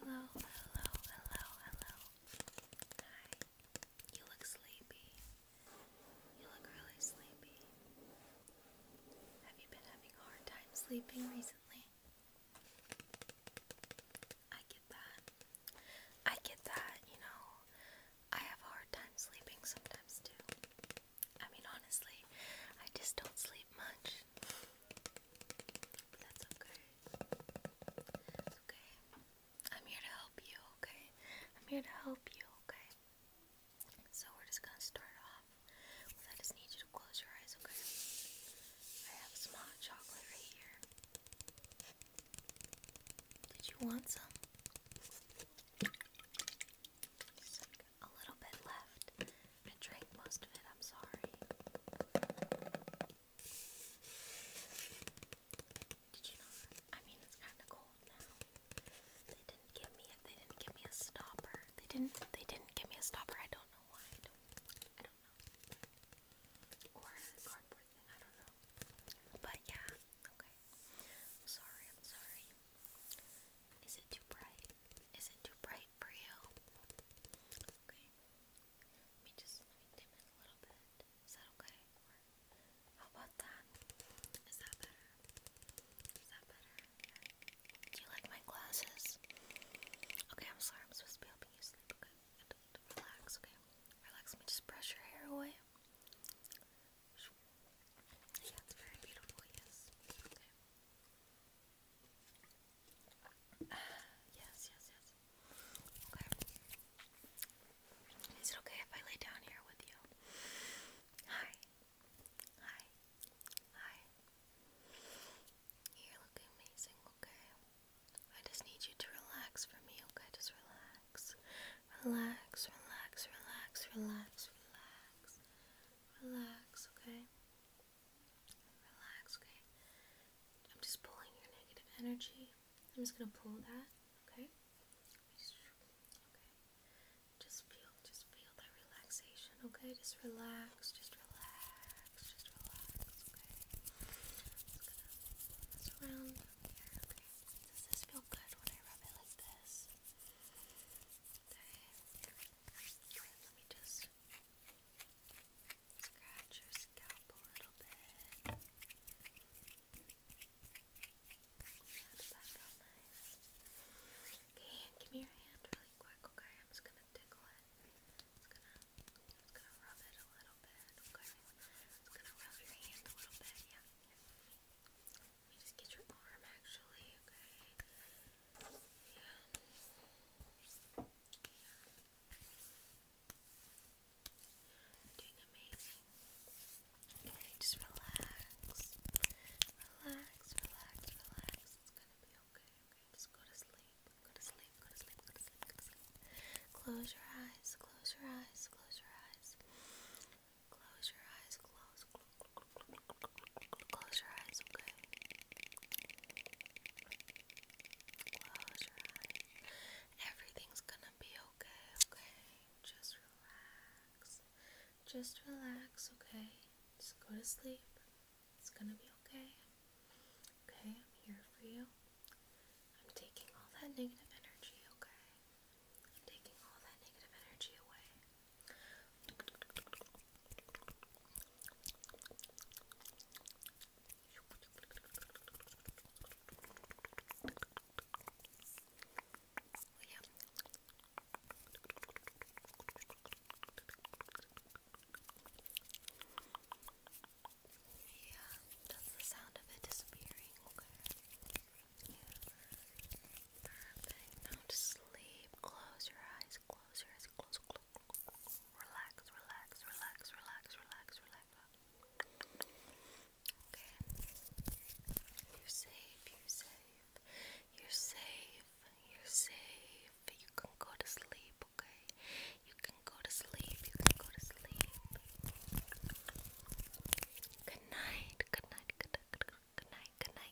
hello, hello, hello, hello. Hi. You look sleepy. You look really sleepy. Have you been having a hard time sleeping recently? I get that. I get that, you know. I have a hard time sleeping sometimes too. I mean, honestly, I just don't sleep much that's okay. It's okay. I'm here to help you, okay? I'm here to help you, okay? So we're just gonna start off I just need you to close your eyes, okay? I have some hot chocolate right here. Did you want some? a little bit left. I drank most of it, I'm sorry. Did you know? I mean, it's kind of cold now. They didn't give me a, they didn't give me a stopper. They didn't they didn't give me a stopper. I don't know why. I don't I don't know. Or a cardboard thing. I don't know. But yeah. Okay. sorry. I'm sorry. Is it too bright? Is it too bright? for you. Okay. Let me just dim it a little bit. Is that okay? how about that? Is that better? Is that better? Do you like my glasses? Okay, I'm sorry. I'm supposed to be helping you sleep. Okay, relax. Okay, relax. Let me just brush your hair away. Yeah, it's very beautiful. Yes. Okay. Uh, yes, yes, yes. Okay. Is it okay if I lay down here with you? Hi. Hi. Hi. You're looking amazing, okay? I just need you to relax for me, okay? Just relax. Relax, relax, relax, relax, relax. Relax, okay? Relax, okay? I'm just pulling your negative energy. I'm just gonna pull that, okay? Just, feel, just feel that relaxation, okay? Just relax, just relax, just relax, okay? I'm just around here, Does this feel good when I rub it like this? Okay. Let me just just scratch your scalp a little bit. That's that felt nice. Okay, give me your hand really quick, okay? I'm just gonna tickle it. It's gonna, it's gonna rub it a little bit, okay? It's gonna rub your hand a little bit, yeah. yeah. Let me just get your arm actually, okay? Yeah. You're just relax. Relax, relax, relax. It's gonna be okay, okay? Just go to sleep. Go to sleep, go to sleep, go to sleep, go to sleep. Close your eyes, close your eyes, close your eyes. Close your eyes, close, Close your eyes, okay? Close your eyes. Everything's gonna be okay, okay? Just relax. Just relax, okay? Just go to sleep. It's gonna be okay. Okay, I'm here for you. I'm taking all that negative energy, okay? I'm taking all that negative energy away. Yeah, that's the sound of it disappearing. Okay. Perfect. Now to sleep. Close your eyes eyes, close your eyes, close, close, close. Relax, relax, relax, relax, relax, relax. Okay. You're safe, you're safe. You're safe, you're safe. You can go to sleep, okay? You can go to sleep, you can go to sleep. Good night, good night, good night, good night, good night,